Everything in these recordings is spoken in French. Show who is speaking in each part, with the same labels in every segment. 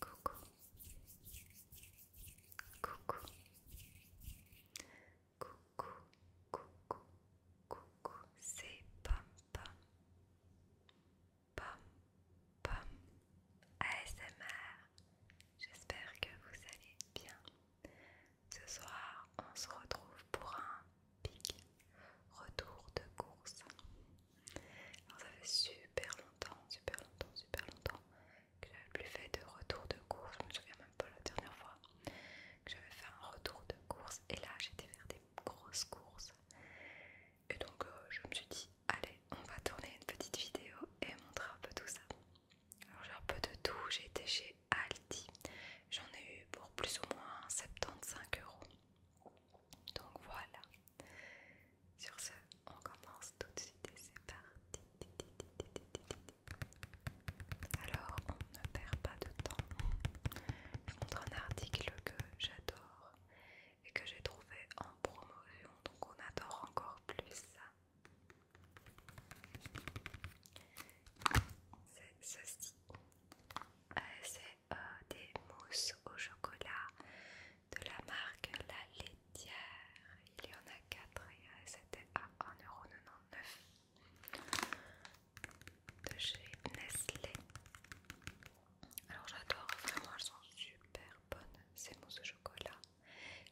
Speaker 1: Coucou. Coucou. Coucou. Coucou. C'est pam pam. Pam pam. ASMR. J'espère que vous allez bien. Ce soir, on se retrouve pour un pic retour de course. Alors, ça fait super longtemps, super longtemps, super longtemps que j'avais plus fait de retour de course. Je me souviens même pas la dernière fois que j'avais fait un retour de course. Et là, j'étais faire des grosses courses. Et donc, euh, je me suis dit, allez, on va tourner une petite vidéo et montrer un peu tout ça. Alors, j'ai un peu de tout. J'ai été chez Aldi. J'en ai eu pour plus ou moins 75 euros. Donc voilà. Sur ce, on commence tout de suite et c'est parti. Alors, on ne perd pas de temps. Je montre un article que j'adore et que j'ai trouvé en promotion, donc on adore encore plus ça. C'est ceci. Euh, des mousses au chocolat de la marque La Laitière. Il y en a 4 et euh, c'était à 1,99€ de chez Nestlé. Alors j'adore, vraiment elles sont super bonnes ces mousses au chocolat.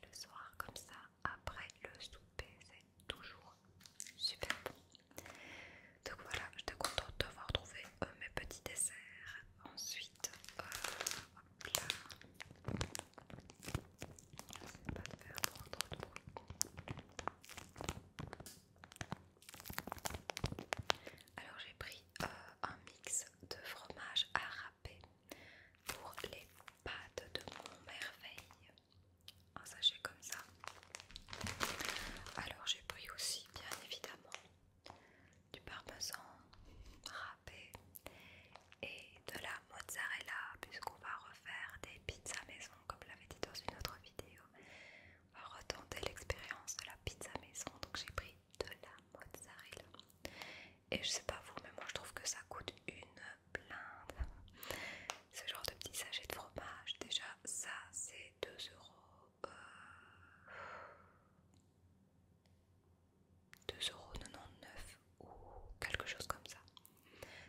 Speaker 1: Le soir comme ça, après le souper, c'est toujours super bon. Donc voilà, j'étais contente de trouvé euh, mes petits desserts. Ensuite, euh, hop là. J'essaie pas faire de bruit. Alors j'ai pris euh, un mix de fromage à râper pour les pâtes de mon merveille. Un sachet comme ça. Alors j'ai pris aussi bien évidemment du parmesan râpé et de la mozzarella puisqu'on va refaire des pizzas maison comme l'avait dit dans une autre vidéo. On va retenter l'expérience de la pizza maison donc j'ai pris de la mozzarella et je sais pas vous mais moi je trouve que ça coûte une blinde. Ce genre de petit sachet de fromage déjà ça c'est 2 euros 2,99€ ou quelque chose comme ça.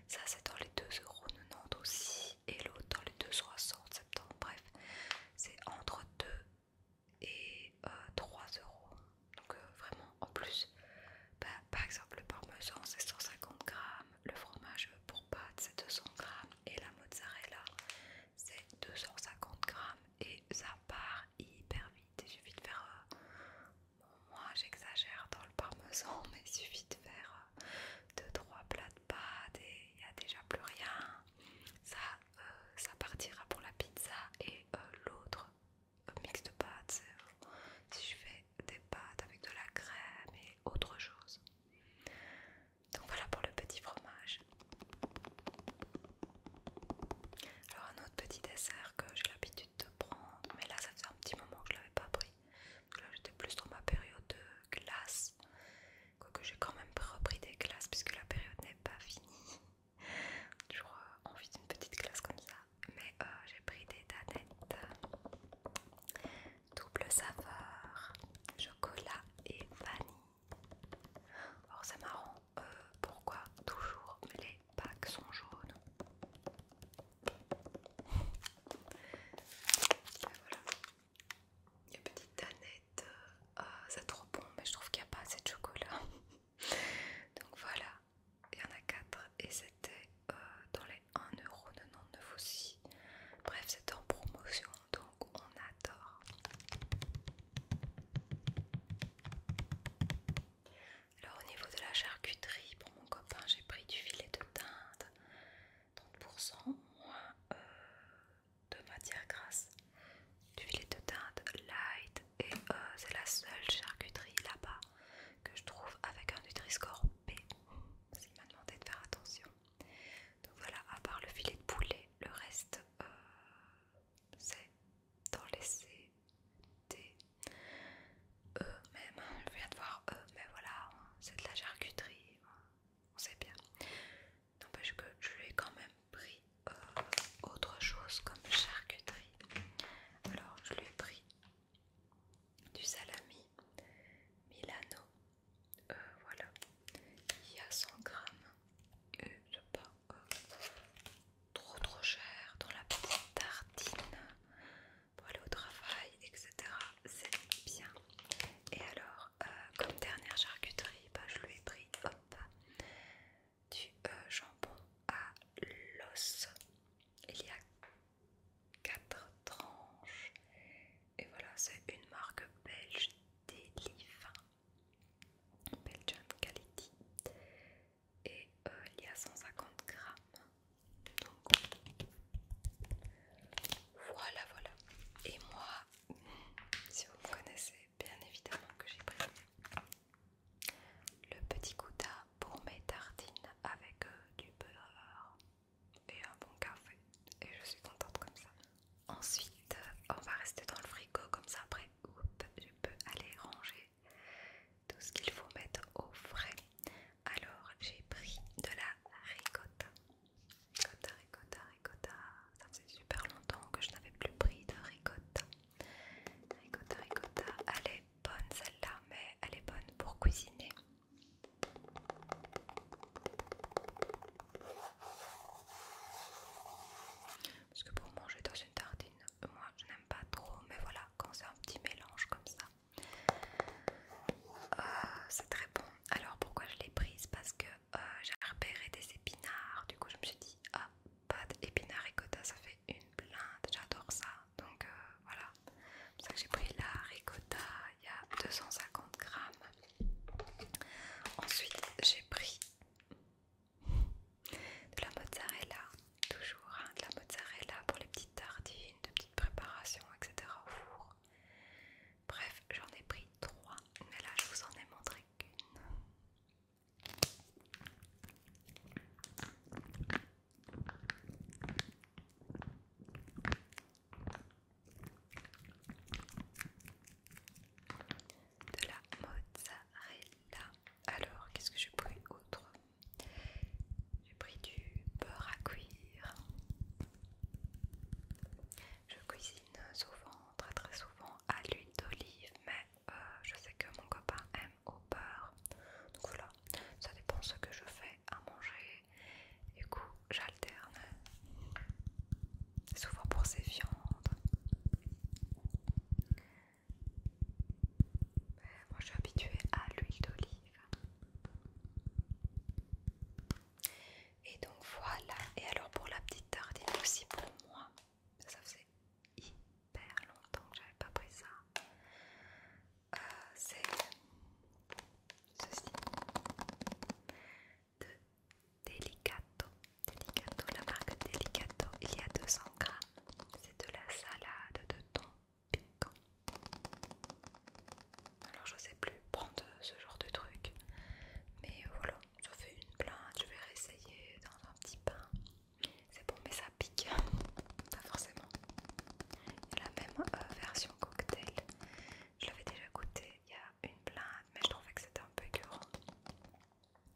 Speaker 1: Ça c'est dans les 2,90€ aussi et l'autre dans les 2,60€, bref, c'est entre 2 et 3 euh, 3€. Donc euh, vraiment en plus, bah, par exemple le parmesan c'est 150 g le fromage pour pâte c'est 200 grammes et la mozzarella c'est 250 grammes et ça part hyper vite. et suffit de faire, euh, moi j'exagère dans le parmesan, mais il suffit de faire 2-3 euh, plats de pâtes et il n'y a déjà plus rien. Ça, euh, ça partira pour la pizza et l'autre mix de pâtes, si je fais des pâtes avec de la crème et autre chose. Donc voilà pour le petit fromage. Alors un autre petit dessert que j'ai l'habitude de prendre, mais là ça faisait un petit moment que je l'avais pas pris. là j'étais plus dans ma période de glace. Quoique j'ai quand même repris des glaces puisque la période n'est pas finie. Toujours envie d'une petite glace comme ça. Mais euh, j'ai pris des danettes. Euh, double saveur, chocolat et vanille. Alors c'est marrant, euh, pourquoi toujours les packs sont jaunes ben, voilà. Il y a petite danette, euh, ah, c'est trop bon, mais je trouve qu'il n'y a pas assez de chocolat. Donc voilà, il y en a 4 et c'était euh, dans les 1,99€ aussi. Bref, c'était en promotion donc on adore. Alors au niveau de la charcuterie, pour mon copain, j'ai pris du filet de teinte 30% moins euh, de matière grasse, du filet de teinte light et euh, c'est la seule charcuterie là-bas que je trouve avec un Nutri-Score B, parce m'a demandé de faire attention. Donc voilà, à part le filet de poulet, le reste euh, c'est dans les C, D, E même je viens de voir E, mais voilà c'est de la charcuterie on sait bien n'empêche que je lui ai quand même pris euh, autre chose comme charcuterie alors je lui ai pris du salami Milano euh, voilà, il y a 100 grammes et c'est pas euh, trop trop cher dans la petite tartine pour aller au travail, etc. C'est bien. Et alors, euh, comme dernière charcuterie, bah, je lui ai pris du jambon à l'os. Il y a 4 tranches et voilà, c'est une marque belge Delif, Belgian Quality. Et euh, il y a 150 grammes. Donc voilà, voilà. Et moi, si vous me connaissez, bien évidemment que j'ai pris le petit gouda pour mes tartines avec euh, du beurre et un bon café. Et je suis contente comme ça. Ensuite, euh, on va rester dans le frigo comme ça. Après, je peux aller ranger tout ce qu'il faut mettre au frais. Alors, j'ai pris de la ricotta. Ricotta, ricotta, ricotta. Ça faisait super longtemps que je n'avais plus pris de ricotta. Ricotta, ricotta. Elle est bonne celle-là, mais elle est bonne pour cuisiner. Parce que pour manger dans une tartine, moi je n'aime pas trop, mais voilà, quand c'est un petit mélange comme ça, euh, c'est très bon. Alors pourquoi je l'ai prise Parce que euh, j'ai repéré des épinards, du coup je me suis dit, ah, pas d'épinards ricotta, ça fait une plainte, j'adore ça. Donc euh, voilà, c'est pour ça que j'ai pris la ricotta il y a 250 grammes. Ensuite, j'ai pris de la mozzarella, toujours hein, de la mozzarella pour les petites tartines, de petites préparations, etc. au four. Bref, j'en ai pris trois, mais là je vous en ai montré qu'une de la mozzarella. Alors, qu'est-ce que j'ai pris autre J'ai pris du beurre à cuire. Je cuisine souvent, très très souvent, à l'huile d'olive, mais euh, je sais que mon copain aime au beurre. Donc voilà, ça dépend ce que je fais à manger. Du coup, j'alterne. Souvent pour ces viandes. Moi, je suis habituée à l'huile d'olive. Et donc voilà. Et alors pour la petite tartine aussi pour moi. Ça faisait hyper longtemps que j'avais pas pris ça. Euh, c'est ceci de Delicato. la marque Delicato, il y a 200 grammes. C'est de la salade de thon piquant. Alors je sais plus prendre ce genre de truc, mais voilà, ça fais une plainte. Je vais réessayer dans un petit pain. C'est bon, mais ça pique, pas forcément. Il y a la même euh, version cocktail. Je l'avais déjà goûté il y a une blinde, mais je trouvais que c'était un peu écœurant.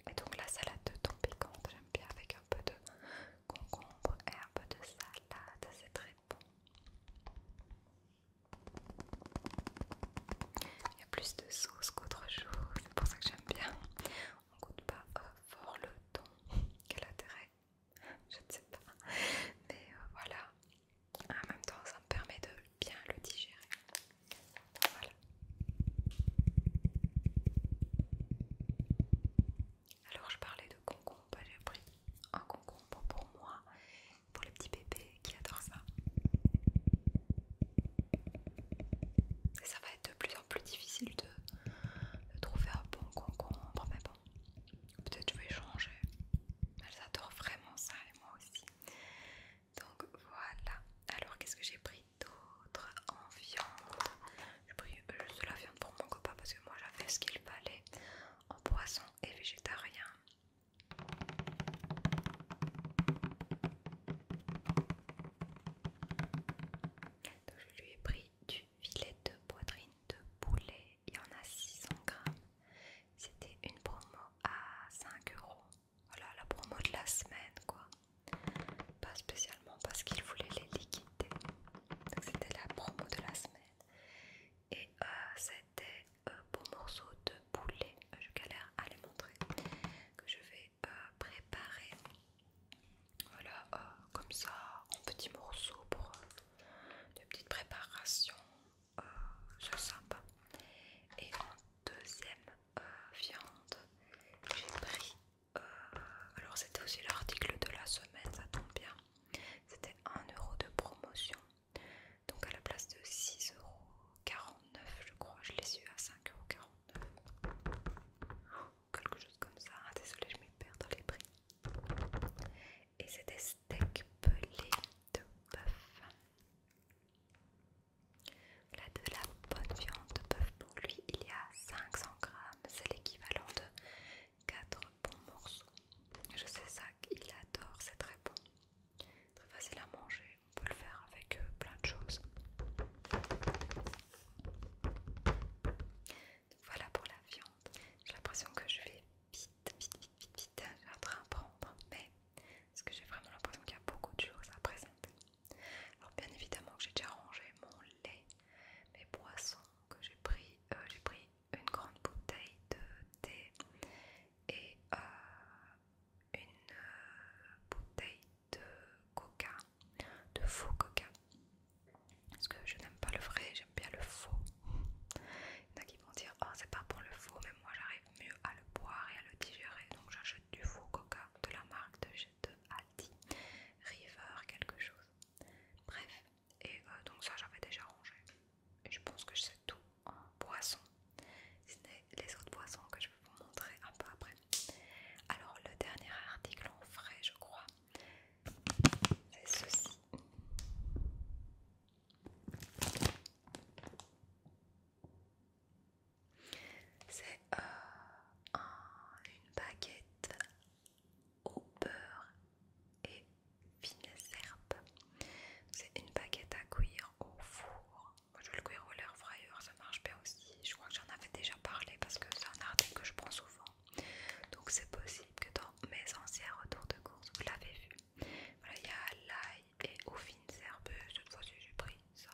Speaker 1: Et donc la salade de thon piquante, j'aime bien avec un peu de concombre et un peu de salade, c'est très bon. Il y a plus de sauce qu'autre chose, c'est pour ça que j'aime bien. On goûte pas euh, fort le thon, quel intérêt Je ne sais pas. Mais euh, voilà, ah, en même temps, ça me permet de bien le digérer. Voilà. Alors, je parlais de concombre. J'ai pris un concombre pour moi, pour les petits bébés qui adorent ça. Et ça va être de plus en plus difficile de, de trouver un bon concombre, mais bon, peut-être je vais changer. Elles adorent vraiment ça et moi aussi. Donc voilà. Alors qu'est-ce que j'ai pris d'autre en viande J'ai pris juste la viande pour mon copain parce que moi j'avais ce qu'il fallait en poisson et végétarien. Donc je lui ai pris du filet de poitrine de poulet. Il y en a 600 grammes. C'était une promo à 5 euros. Voilà oh la promo de la semaine quoi. Pas spécialement parce qu'ils voulaient les liquider. Donc c'était la promo de la semaine. Et euh, c'était un euh, beau morceau de poulet. Euh, je galère à les montrer. Que je vais préparer. Voilà, comme ça, en petits morceaux pour de petites préparations c'est sympa. Et en deuxième euh, viande, j'ai pris. Euh, alors, c'était aussi l'article de la semaine, ça tombe bien. C'était 1€ de promotion. Donc, à la place de 6,49€, je crois, je l'ai eu à 5,49€. quelque chose comme ça. Ah, désolée, je me perds dans les prix. Et c'était steak pelé de bœuf. Là, de la bonne viande de bœuf pour lui, il y a 500 grammes, c'est l'équivalent de 4 bons morceaux. Je sais ça, il adore, c'est très bon, très facile à manger, on peut le faire avec plein de choses. voilà pour la viande. J'ai l'impression que je vais vite, vite, vite, vite, vite, je en train de prendre, mais parce que j'ai vraiment l'impression qu'il y a beaucoup de choses à présenter. Alors bien évidemment que j'ai déjà rangé mon lait, mes boissons que j'ai pris. Euh, j'ai pris une grande bouteille de thé et euh, une euh, bouteille de coca, de faux coca. Parce que je n'aime pas le vrai, j'aime bien le faux. Il y en a qui vont dire oh c'est pas pour le faux, mais moi j'arrive mieux à le boire et à le digérer. Donc j'achète du faux coca de la marque de, de Aldi, River quelque chose. Bref, et euh, donc ça j'avais déjà rangé. Et je pense que c'est tout en boisson. Ce n'est les autres boissons que je vais vous montrer un peu après. Alors le dernier article en frais je crois, c'est ceci. C'est euh, une baguette au beurre et fine herbes. C'est une baguette à cuire au four. Moi, je le cuire au l'air fryer, ça marche bien aussi. Je crois que j'en avais déjà parlé parce que c'est un article que je prends souvent. Donc c'est possible que dans mes anciens retours de course, vous l'avez vu. Voilà, il y a l'ail, et aux fines herbeuses. Cette fois-ci, j'ai pris ça.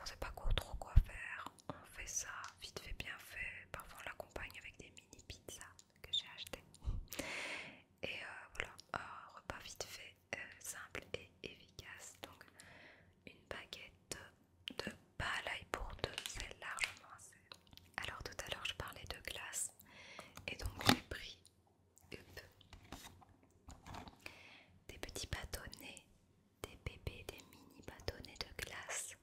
Speaker 1: on sait pas trop quoi faire, on fait ça vite fait, bien fait. Parfois, on l'accompagne avec des mini pizzas que j'ai achetées. Et euh, voilà, repas vite fait, euh, simple et efficace. Donc, une baguette de palaille pour deux, c'est largement assez. Alors, tout à l'heure, je parlais de glace et donc j'ai pris des petits bâtonnets, des bébés, des mini bâtonnets de glace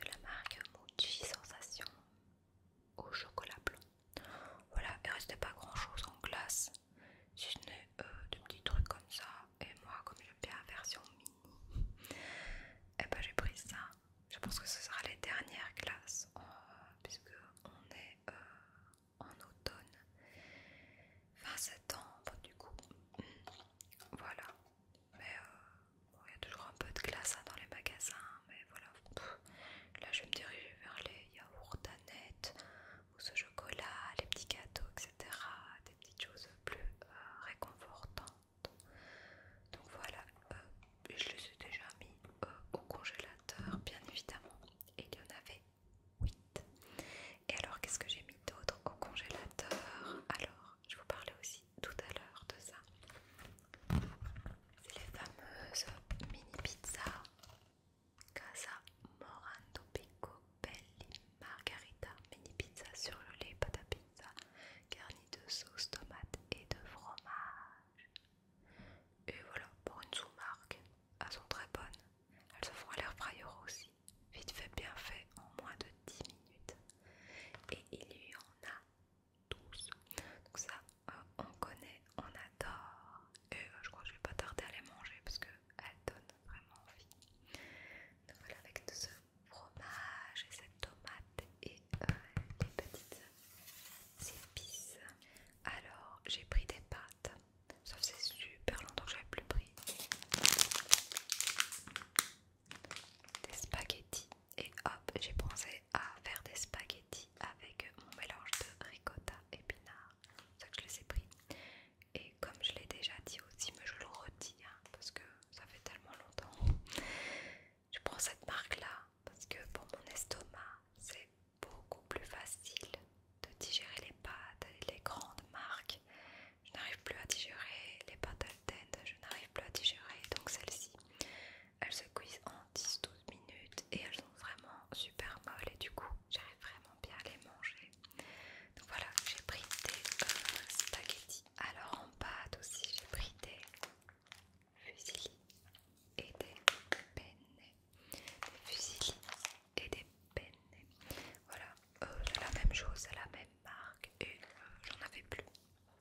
Speaker 1: de la marque Mochi Sensation au chocolat blanc. Voilà, il ne restait pas grand chose en glace, si ce n'est euh, des petits trucs comme ça. Et moi, comme j'ai bien la version mini, et eh ben, j'ai pris ça. Je pense que ce sera les dernières glaces, euh, puisque on est euh, en automne, fin septembre du coup. Mm. Voilà, mais euh, il y a toujours un peu de glace hein, dans les magasins, mais voilà. là, je vais me diriger vers les yaourts Danette ou ce chocolat, les petits gâteaux, etc. Des petites choses plus euh, réconfortantes. Donc voilà, euh, je les ai déjà mis au congélateur, bien évidemment et il y en avait 8. Et alors, qu'est-ce que j'ai mis d'autre au congélateur Alors, je vous parlais aussi tout à l'heure de ça. C'est les fameuses mini pizzas Casa Morando Pico Belli Margarita mini pizza sur le lait, pâte à pizza garni de sauce tomate et de fromage. Et voilà, pour une sous-marque, elles sont très bonnes. Elles se font à l'air fryer aussi, vite fait, bien fait, en moins de 10 minutes. Et il y en a 12. Donc ça, euh, on connaît, on adore. Et euh, je crois que je vais pas tarder à les manger parce que elles donnent vraiment envie. Donc voilà, avec ce fromage et cette tomate et euh, les petites c'est pisse, Alors j'ai pris des pâtes, sauf c'est super longtemps que j'avais plus pris. Des spaghettis et hop j'ai pensé à faire des spaghettis avec mon mélange de ricotta épinard. C'est ça que je les ai pris. Et comme je l'ai déjà dit aussi, mais je le redis hein, parce que ça fait tellement longtemps. Je prends cette marque là parce que pour mon estomac c'est beaucoup plus facile de digérer les pâtes les grandes marques. Je n'arrive plus à digérer les pâtes Alten, je n'arrive plus à digérer donc celles-ci. Elles se cuisent en 10-12 minutes et elles sont vraiment super molles et du coup j'arrive vraiment bien à les manger. Donc voilà, j'ai pris des euh, spaghettis. Alors en pâte aussi j'ai pris des Fusilis et des penne. Des et des penne. Voilà, euh, c'est la même chose, c'est la même marque et euh, j'en avais plus.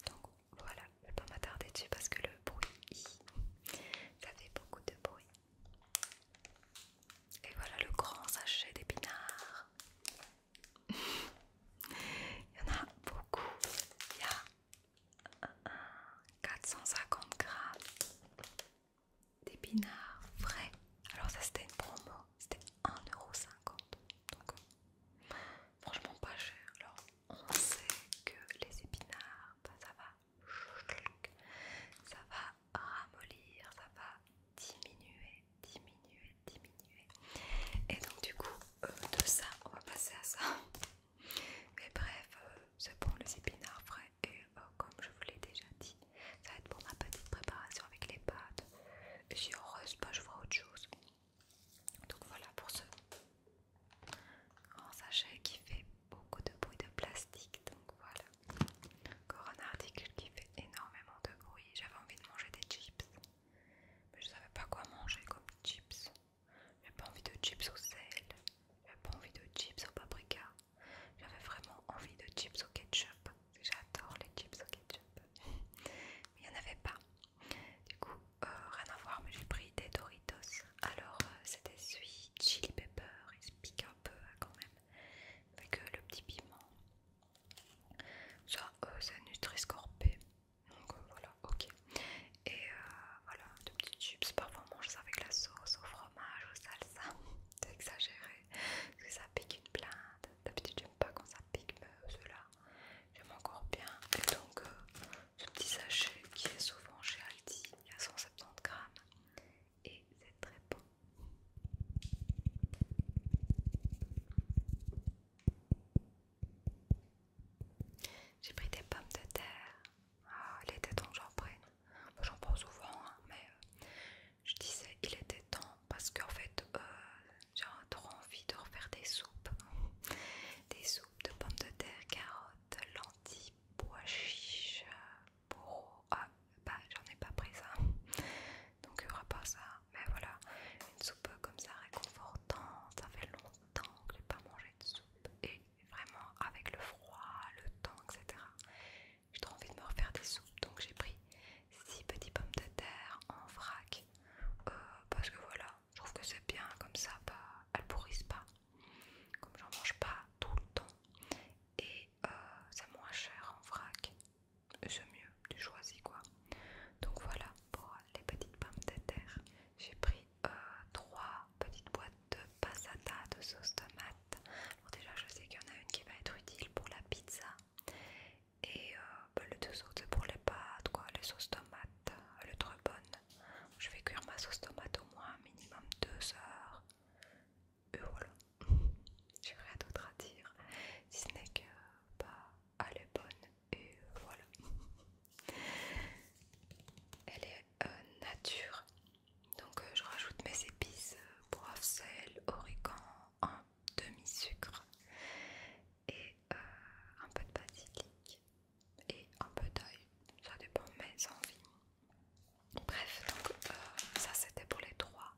Speaker 1: Donc voilà, je vais pas m'attarder dessus parce que le bruit, ça fait beaucoup de bruit. Et voilà le grand sachet d'épinards. Il y en a beaucoup. Il y a 450 grammes d'épinards frais. Alors ça c'était une promo, c'était 1,50€. Donc euh, franchement pas cher. Alors on sait que les épinards, bah, ça va, ça va ramollir, ça va diminuer, diminuer, diminuer. Et donc du coup euh, de ça on va passer à ça. Mais bref, euh, c'est pour les épinards frais et euh, comme je vous l'ai déjà dit, ça va être pour ma petite préparation avec les pâtes. Et si heureuse pas, je vois autre chose. Donc voilà pour ce grand sachet qui fait beaucoup de bruit de plastique. Donc voilà. Encore un article qui fait énormément de bruit. J'avais envie de manger des chips. Mais je savais pas quoi manger comme chips j'ai pas envie de chips au sel, j'ai pas envie de chips au paprika, j'avais vraiment envie de chips au ketchup. J'adore les chips au ketchup, mais il n'y en avait pas. Du coup, euh, rien à voir, mais j'ai pris des Doritos. Alors, euh, c'était celui chili pepper, il se pique un peu hein, quand même, avec le petit piment. Ça, c'est un nutri donc euh, voilà, ok. Et euh, voilà, de petits tubes Parfois on mange ça avec la sauce, au fromage, au salsa. C'est exagéré. Parce que ça pique une plainte. D'habitude, j'aime pas quand ça pique, mais euh, ceux j'aime encore bien. Et donc, euh, ce petit sachet qui est souvent chez Aldi, il y a 170 grammes. Et c'est très bon. J'ai pris des pommes de terre ah, il était temps que j'en prenne. J'en prends souvent, hein, mais euh, je disais qu'il était temps parce qu'en fait euh, j'ai trop envie de refaire des soupes. Des soupes de pommes de terre, carottes, lentilles, pois chiches, pour Ah, bah j'en ai pas pris ça. Donc il n'y aura pas ça. Mais voilà, une soupe comme ça réconfortante. Ça fait longtemps que j'ai pas mangé de soupe vraiment avec le froid, le temps, etc. J'ai trop envie de me refaire des soupes, donc j'ai pris 6 petites pommes de terre en vrac euh, parce que voilà, je trouve que c'est bien comme ça, bah, elles pourrissent pas, comme j'en mange pas tout le temps et euh, c'est moins cher en vrac, c'est mieux, tu choisis quoi. Donc voilà pour les petites pommes de terre. J'ai pris euh, trois petites boîtes de passata de sauce tomate. déjà, je sais qu'il y en a une qui va être utile pour la pizza. Et euh, bah, les deux autres, pour les pâtes, quoi. Les sauces tomates, elle euh, est trop bonne. Je vais cuire ma sauce tomate au moins minimum deux heures. Et voilà. J'ai rien d'autre à dire. Si ce n'est que, bah, elle est bonne. Et voilà. Elle euh, nature. Donc euh, je rajoute mes épices, euh, poivre, sel, origan, un demi-sucre et un peu de basilic et un peu d'ail, ça dépend mes envies. Bref, donc ça c'était pour les trois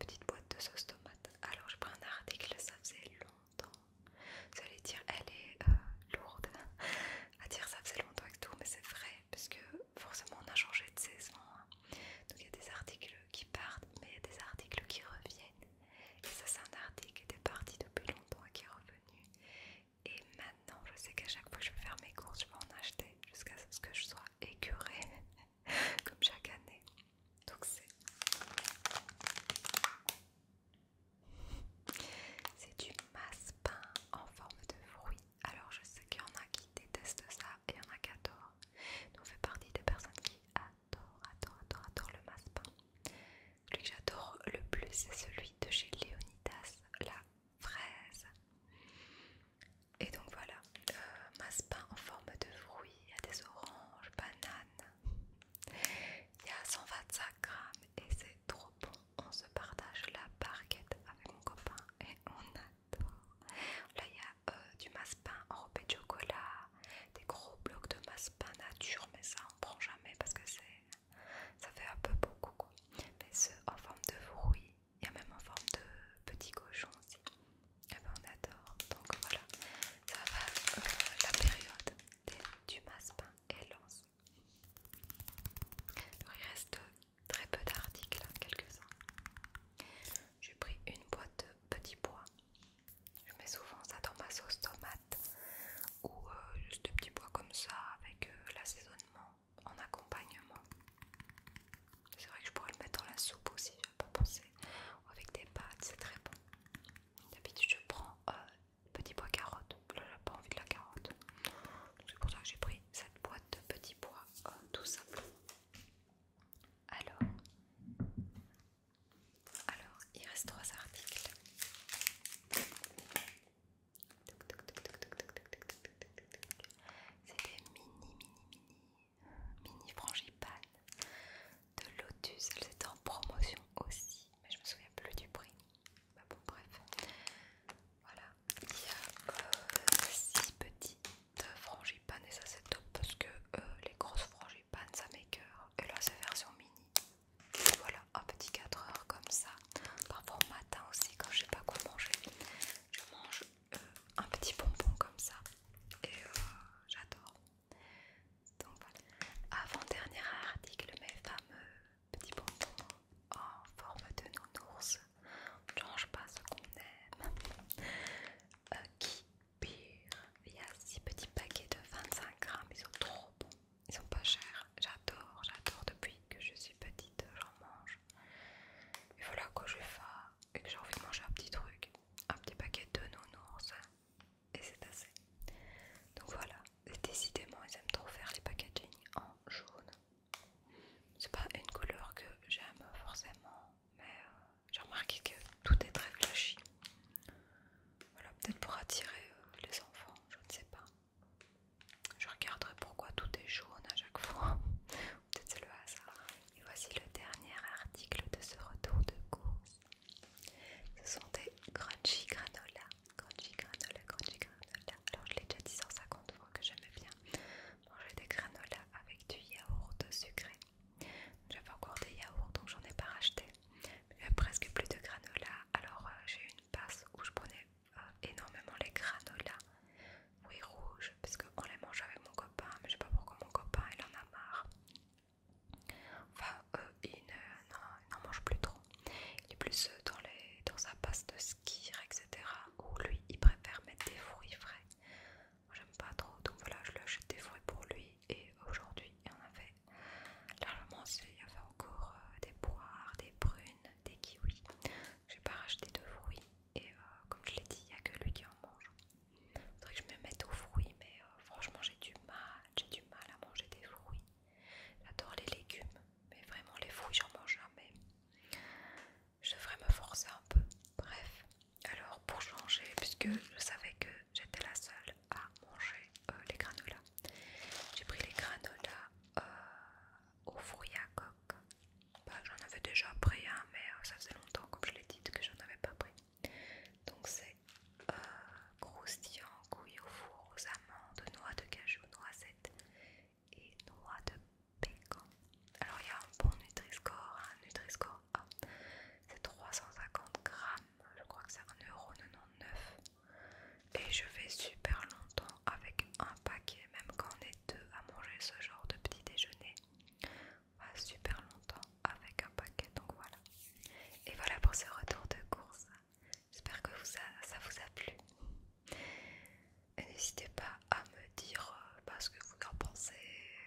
Speaker 1: petites boîtes de sauce tomate. Alors j'ai pris un article, ça faisait longtemps. Vous allez dire, elle est lourde à dire ça faisait longtemps que tout, mais c'est vrai, parce que forcément on a changé de saison. Hein. Donc il y a des articles qui partent, mais il y a des articles qui reviennent. Et ça, c'est un article qui était parti depuis longtemps et qui est revenu. Et maintenant, je sais qu'à chaque fois que je vais faire mes courses, je vais en acheter jusqu'à ce que je sois écœurée, comme chaque année. Donc c'est... C'est du masse pain en forme de fruit. Alors je sais qu'il y en a qui détestent ça et il y en a qui adorent. Donc je partie des personnes qui adorent, adorent, adorent, adorent le masse pain. Celui que j'adore le plus, c'est celui de chez Leonidas, la fraise. Et donc voilà, euh, masse pain en forme de fruit. Il y a des oranges, bananes. Il y a 125 grammes et c'est trop bon on se partage la barquette avec mon copain et on adore. Là, il y a euh, du massepain enrobé de chocolat, des gros blocs de pain nature, mais ça on prend jamais parce que c'est ça fait un peu beaucoup. Mais ceux en forme de bruit, il y a même en forme de petits cochons aussi. Eh ben, on adore. Donc voilà, ça va euh, la période du du pain et l'once il reste très peu d'articles, quelques-uns. J'ai pris une boîte de petits pois. Je mets souvent ça dans ma sauce tomate ou euh, juste des petits pois comme ça avec euh, l'assaisonnement en accompagnement. C'est vrai que je pourrais le mettre dans la soupe aussi, vais pas pensé. Ou avec des pâtes, c'est très bon. D'habitude, je prends euh, Petit bois carottes. Là, n'ai pas envie de la carotte. C'est pour ça que j'ai pris cette boîte de petits bois tout simplement. Alors, alors, il reste trois articles. C'est des mini, mini, mini, mini frangipane de Lotus. Elles étaient en promotion aussi, mais je me souviens plus du prix. Bah bon, bref. Voilà. Il y a 6 euh, petites frangipanes et ça c'est top parce que euh, les grosses frangipanes ça m'écœure. Et là c'est version mini. voilà, un petit 4 heures comme ça. Parfois au matin aussi quand je sais pas quoi manger. Je mange euh, un petit bonbon comme ça. Et j'adore. Donc voilà. Avant-dernier article, mes fameux petit bonbon oh, en forme de nounours. On ne change pas ce qu'on aime. Euh, qui pire Il y a 6 petits paquets de 25 grammes, ils sont trop bons. Ils sont pas chers, j'adore, j'adore depuis que je suis petite, j'en mange. Et voilà, quand je faim et que j'ai envie de manger un petit truc, un petit paquet de nounours, et c'est assez. Donc voilà, décidément, ils aiment trop faire les packaging en jaune. C'est pas une couleur que j'aime forcément, mais euh, j'ai remarqué que tout est très flashy. Voilà, peut-être pour attirer euh, les enfants, je ne sais pas. Je regarderai pourquoi tout est jaune à chaque fois. peut-être c'est le hasard. Et voici le dernier article de ce retour de course. Ce sont des crunchy granola crunchy granola, granola. Alors je l'ai déjà dit 150 fois que j'aimais bien manger des granolas avec du yaourt de sucré. J'avais encore des yaourts donc j'en ai pas racheté. Il y a presque plus de granola. Alors j'ai euh, j'ai une passe où je prenais euh, énormément les granolas. Oui rouges parce qu'on les mange avec mon copain mais je sais pas pourquoi mon copain il en a marre. Enfin, une euh, n'en mange plus trop. Il est plus euh, dans, les, dans sa passe de ski etc. Où lui, il préfère mettre des fruits frais. Moi, j'aime pas trop. Donc voilà, je lui achète des fruits pour lui. Et aujourd'hui, il en a fait largement. Il y avait encore euh, des poires, des prunes, des kiwis. J'ai pas racheté de fruits. Et euh, comme je l'ai dit, il y a que lui qui en mange. Faudrait que je me mette aux fruits, mais franchement, j'ai du mal. J'ai du mal à manger des fruits. J'adore les légumes, mais vraiment les fruits j'en mange jamais. Je devrais me forcer un peu. Bref, alors pour changer, puisque je savais que j'étais la seule à manger euh, les granolas, j'ai pris les granolas euh, aux fruits à coque. Bah, j'en avais déjà pris un, mais euh, ça faisait longtemps, comme je l'ai dit, que j'en avais pas pris. Donc c'est croustillant, couilles au four, aux amandes, noix de cajou, noisettes, et noix de pécan. Alors il y a un bon nutri un Nutri-Score A, c'est 350 grammes, je crois que c'est 1,99€. Et je vais super longtemps avec un paquet, même quand on est deux à manger ce genre de petit déjeuner. On va super longtemps avec un paquet, donc voilà. Et voilà pour ce retour de course. J'espère que ça vous a plu. N'hésitez pas à me dire euh, bah, ce que vous en pensez,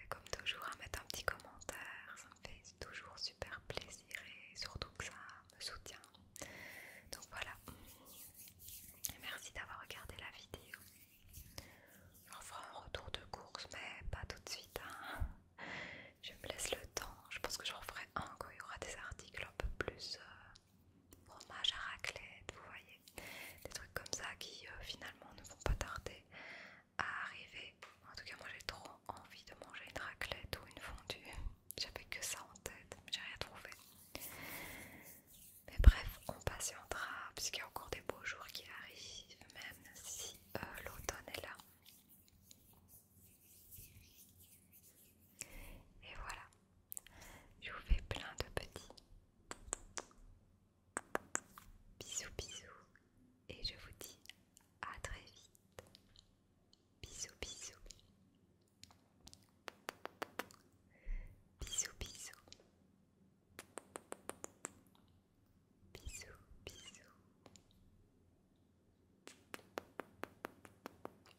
Speaker 1: comme toujours, à mettre un petit commentaire, ça me fait toujours super plaisir et surtout que ça me soutient. Donc voilà, merci d'avoir regardé la vidéo. J'en ferai un retour de course, mais pas tout de suite. Hein. Je me laisse le temps, je pense que j'en ferai un quand il y aura des articles un peu plus. Euh, fromage à raclette, vous voyez, des trucs comme ça qui euh, finalement ne vont pas tarder à arriver. En tout cas, moi j'ai trop envie de manger une raclette ou une fondue. J'avais que ça en tête, mais j'ai rien trouvé. Mais bref, on patientera puisqu'il y a encore des beaux jours qui arrivent, même si euh, l'automne est là. Et voilà, je vous fais plein de petits bisous bisous et je vous dis à très vite. Bisous bisous. Bisous bisous. Bisous bisous.